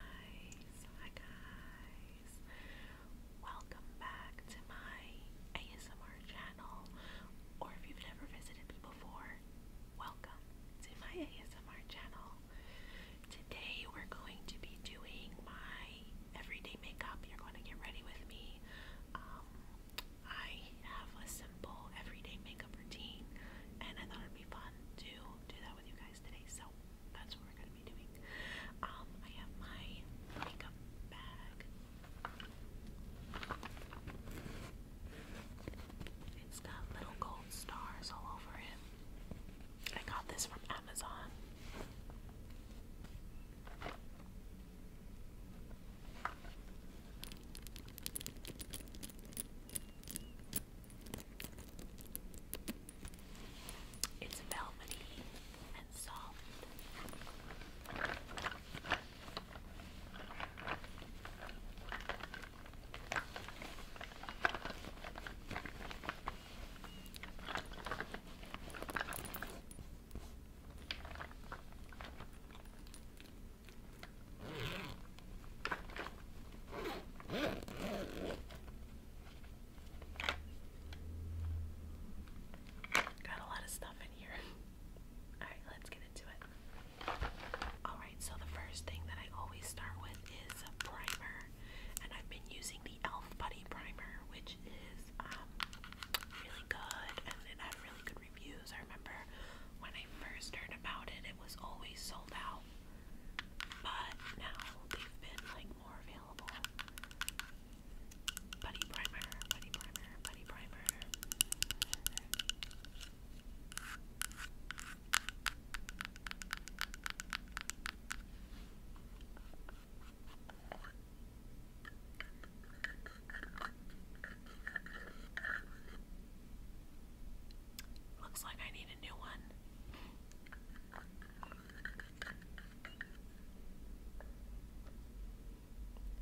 guys, hi guys. Welcome back to my ASMR channel. Or if you've never visited me before, welcome to my ASMR channel. Today we're going to be doing my everyday makeup. You're going to get ready with me. Um, I have a simple everyday makeup routine and I thought it'd be fun to do that with you guys so that's what we're gonna be doing. Um, I have my makeup bag. It's got little gold stars all over it. I got this from Amazon. It's velvety and soft. Got a lot of stuff in here. Alright, let's get into it. Alright, so the first thing that I always start with is a primer. And I've been using the e.l.f. Buddy Primer, which is um, really good and it had really good reviews. I remember when I first heard about it, it was always sold out ago. But now they've been like more available. Buddy primer, buddy primer, buddy primer. Looks like I need a new one.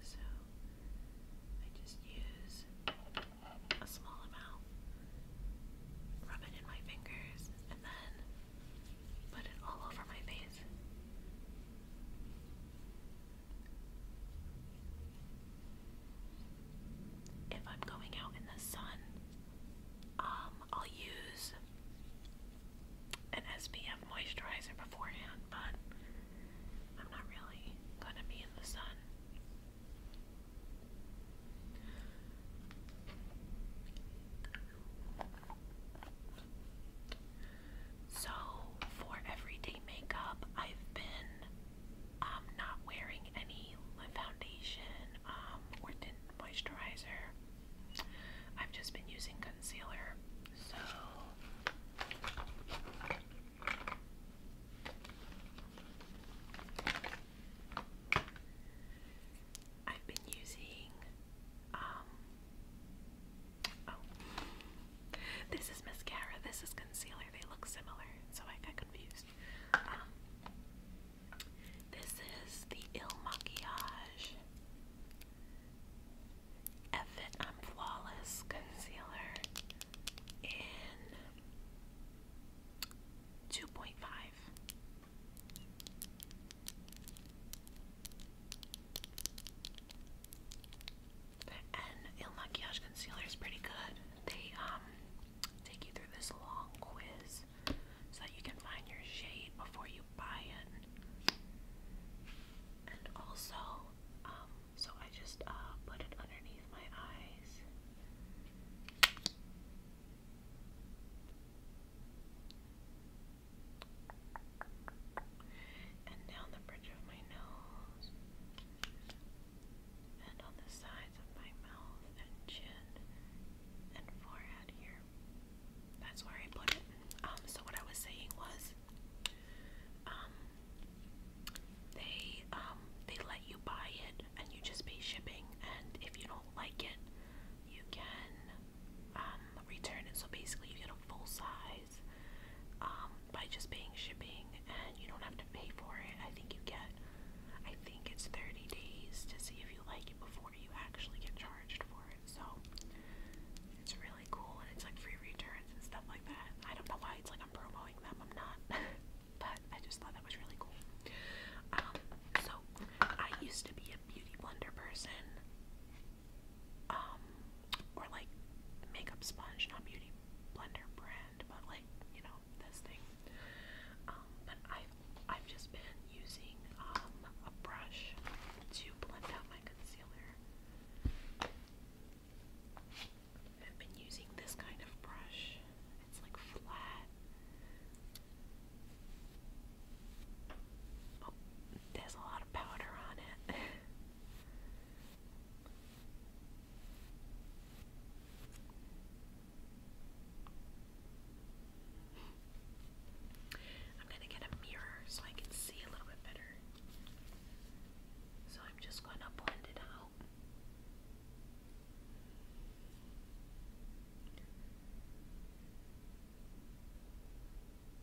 So I just use a small amount, rub it in my fingers, and then put it all over my face. If I'm going out in the sun, um, I'll use an SPF moisturizer beforehand, but I'm not really gonna be in the sun. So, for everyday makeup, I've been um, not wearing any foundation um, or tinted moisturizer. I've just been using concealer, so I've been using um, oh this is mascara, this is concealer, they look similar, so I got confused. Um, this is the Il Maquillage Effet I'm Flawless Concealer in 2.5. And Il Maquillage Concealer is pretty good. They um take you through this long quiz so that you can find your shade before you buy it. And also, um, so I just uh, put it underneath my eyes. And down the bridge of my nose, and on the sides of my mouth and chin and forehead here. That's where I put it. Um, so what I was saying was, um, they um they let you buy it and you just pay shipping, and if you don't like it, you can um return it. So basically, you get a full size um by just paying shipping, and you don't have to pay for it. I think you get, I think it's thirty days to see if you like it before you actually get charged for it. So it's really cool, and it's like free returns and stuff like that. I don't know why it's like I'm promoting them. I'm not, but I just thought that was really cool. Um, so I used to be a beauty blender person, um, or like makeup sponge, not beauty blender brand, but like you know this thing. Um, but I I've just been using um, a brush to blend out my concealer. I've been using this kind of brush. It's like flat. Oh, there's a lot of powder on it. I'm going to get a mirror so I can see a little bit better. So I'm just going to blend it out.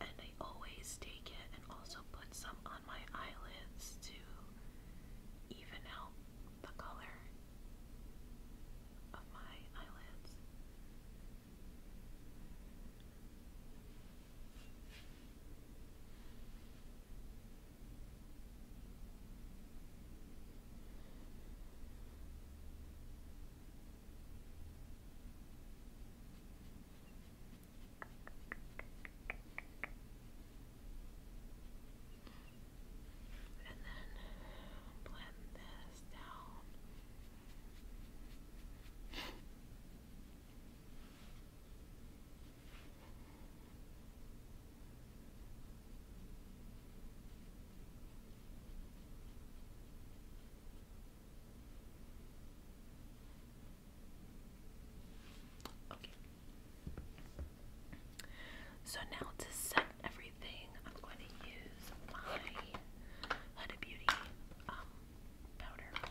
And I always take it and also put some on my eyelids to even out the color of my eyelids. And then blend Okay. So now to set everything I'm going to use my Huda Beauty um, powder.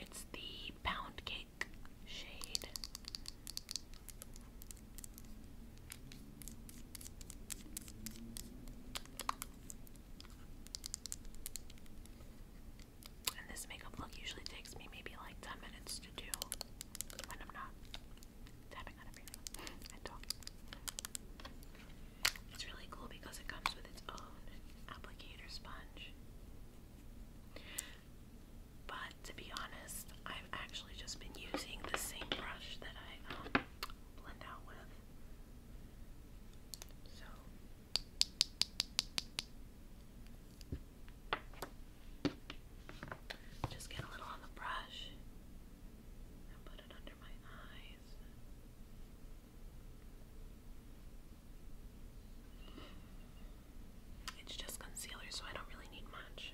It's the pound cake shade. And this makeup look usually takes me maybe like 10 minutes to do when I'm not tapping on everything It's really cool because it comes with its own applicator sponge. But to be honest, I've actually just been using the same brush that I um, blend out with. So just get a little on the brush and put it under my eyes. It's just concealer, so I don't really need much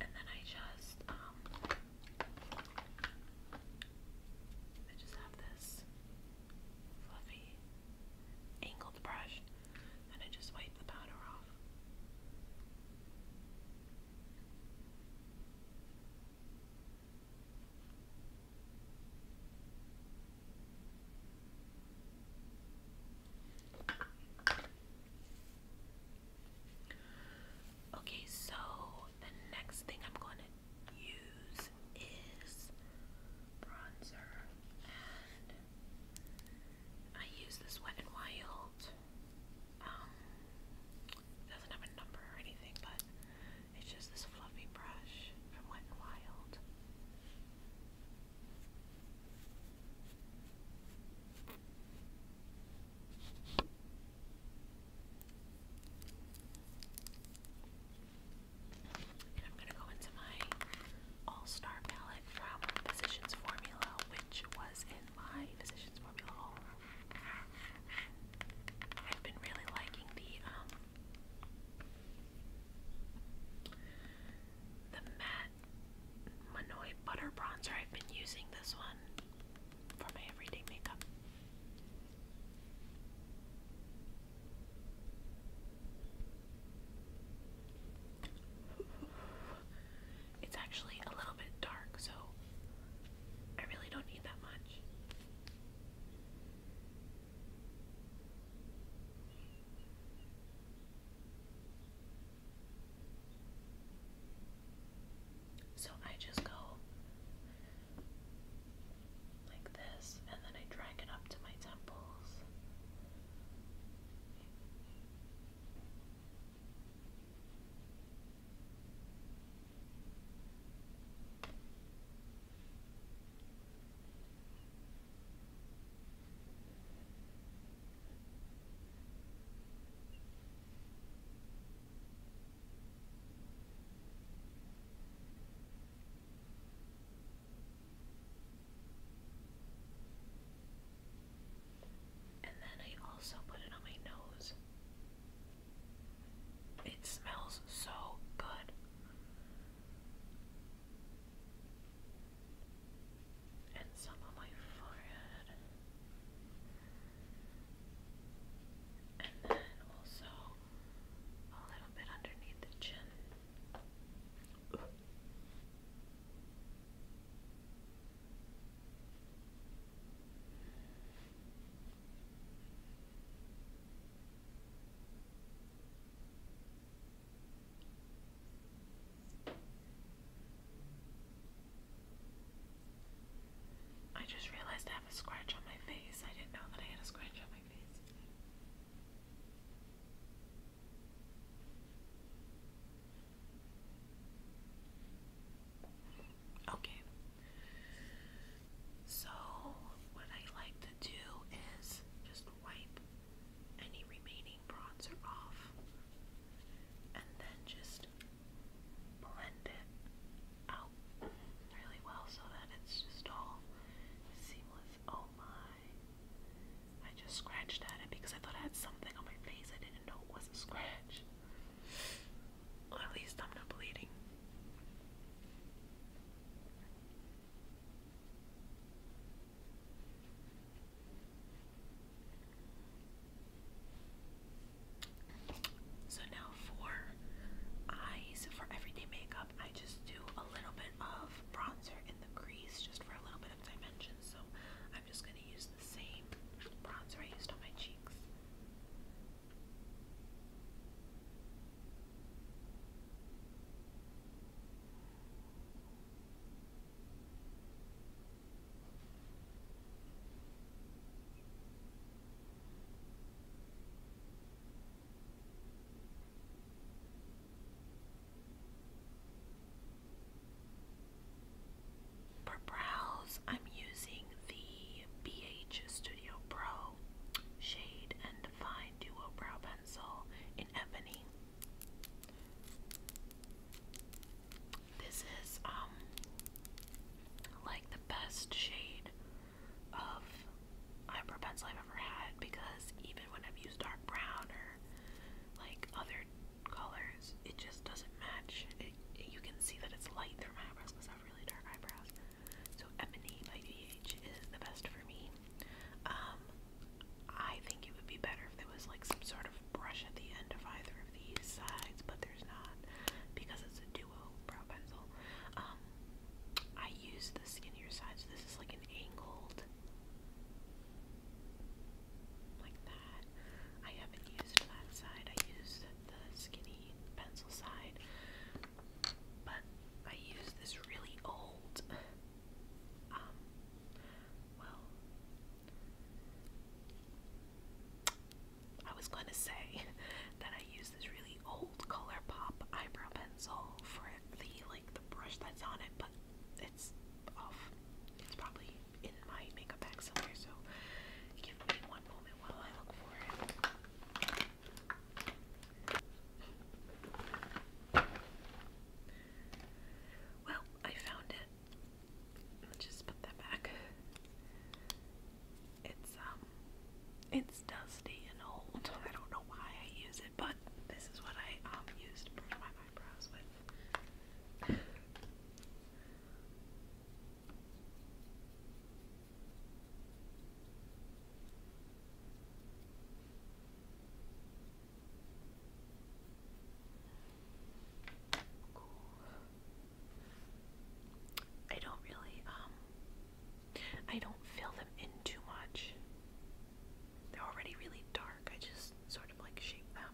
and then I just um, I just have this fluffy angled brush and I just wipe the powder off. Okay, so the next thing I'm going to use is bronzer, and I use this Wet n Wild. Um, doesn't have a number or anything, but it's just this fluffy brush from Wet n Wild. I'm gonna go into my All-Star palette from Physicians Formula, which was in my Physicians Formula haul. I've been really liking the um, the matte Manoy butter bronzer. I've been using this one for my everyday makeup. It's actually a little bit dark, so I really don't need that much. So I just go like this, and then I drag it up to my temples. And then I also put it on my nose. It smells so good. And some on my forehead and then also a little bit underneath the chin. I just realized I have a scratch on my face. I didn't know that I had a scratch on my face. Okay. So, what I like to do is just wipe any remaining bronzer off and then just blend it out really well so that it's just all seamless. Oh my. I just scratched at it because I thought I had something on my face. I didn't know it was a scratch. at least I'm not bleeding. So now for eyes, for everyday makeup, I just do a little bit of bronzer in the crease just for a little bit of dimension. So I'm just going to use the same bronzer I used on my cheeks. For brows, I'm using the BH Studio Pro Shade and Define Duo Brow Pencil in Ebony. This is um like the best shade of eyebrow pencil I've ever had because even when I've used dark brown or like other colors, it just doesn't match. you can see that it's light through my eyebrows because I have really dark eyebrows. So Ebony by DH is the best for me. Um, I think it would be better if there was like some sort of brush at the end of either of these sides, but there's not because it's a duo brow pencil. Um, I use the skinnier side, so this is like an angled, like that. I haven't used that side. I used the skinny pencil side, but I use this really old. Um, well, I was going to say that I used this really old ColourPop eyebrow pencil for the like the brush that's on it, but it's off. It's probably in my makeup bag somewhere. So give me one moment while I look for it. Well, I found it. Just put that back. It's um it's dusty and old. I don't know why I use it, but this is what I um use to brush my eyebrows with. Cool. I don't really, um, I don't fill them in too much. They're already really dark. I just sort of like shape them.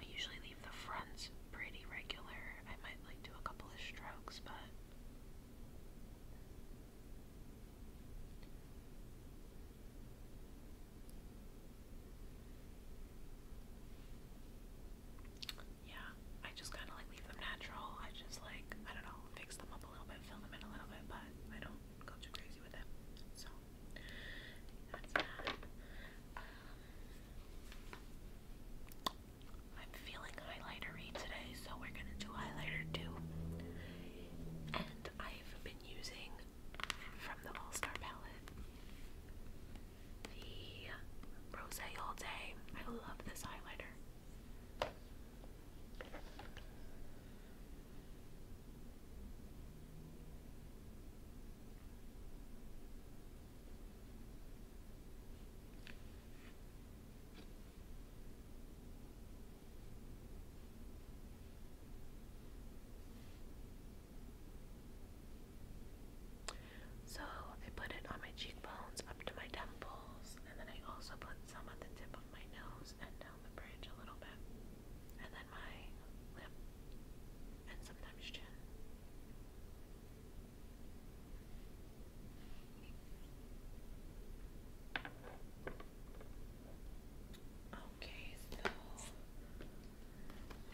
I usually leave the fronts pretty regular. I might like do a couple of strokes, but yeah, I just kind of like leave them natural. I just like, I don't know, fix them up a little bit, fill them in a little bit, but I don't go too crazy with it. So, um, I'm feeling highlightery today, so we're gonna do highlighter too. And I've been using from the All Star palette. The Rose All Day. I love this highlighter. So I put it on my cheekbones up to my temples, and then I also put some at the tip of my nose and down the bridge a little bit, and then my lip, and sometimes chin. Okay, so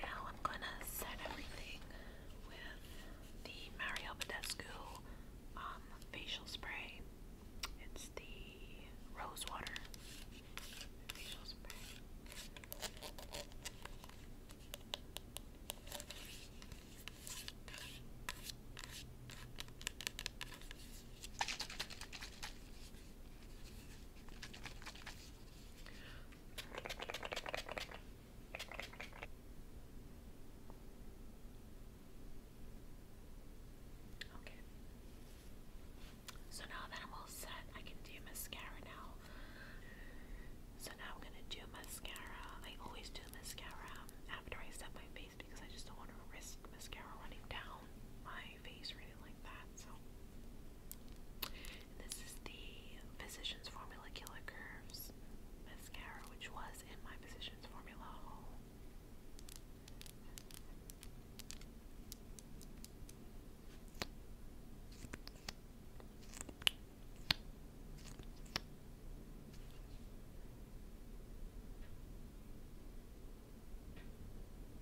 now I'm gonna set everything with the Mario Badescu um, facial spray. It's the rose water facial spray. Okay. So now that I'm all set, I can do mascara now. So now I'm gonna do mascara. I always do mascara after I set my face because I just don't want to risk mascara running down my face or anything like that. So and this is the Physicians Formula Killer Curves mascara, which was in my Physicians Formula haul. Okay.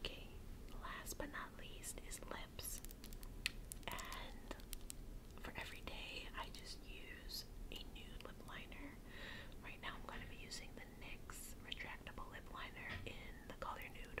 Okay, last but not least is lips. And for every day, I just use a nude lip liner. Right now, I'm going to be using the NYX Retractable Lip Liner in the color Nude.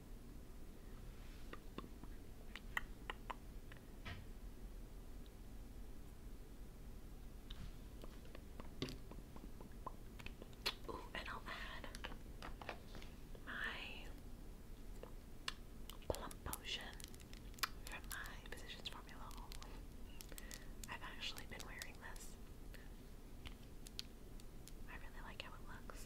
Ooh, and I'll my plum potion from my Physicians Formula. I've actually been wearing this. I really like how it looks.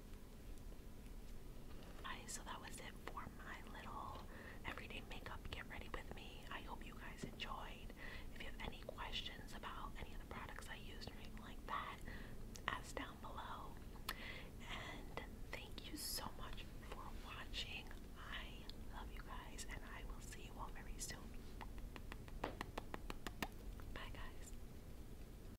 So that was it for my little everyday makeup get ready with me. I hope you guys enjoyed. If you have any questions about any of the products I used or anything like that, ask down below. And thank you so much for watching. I love you guys and I will see you all very soon. Bye guys.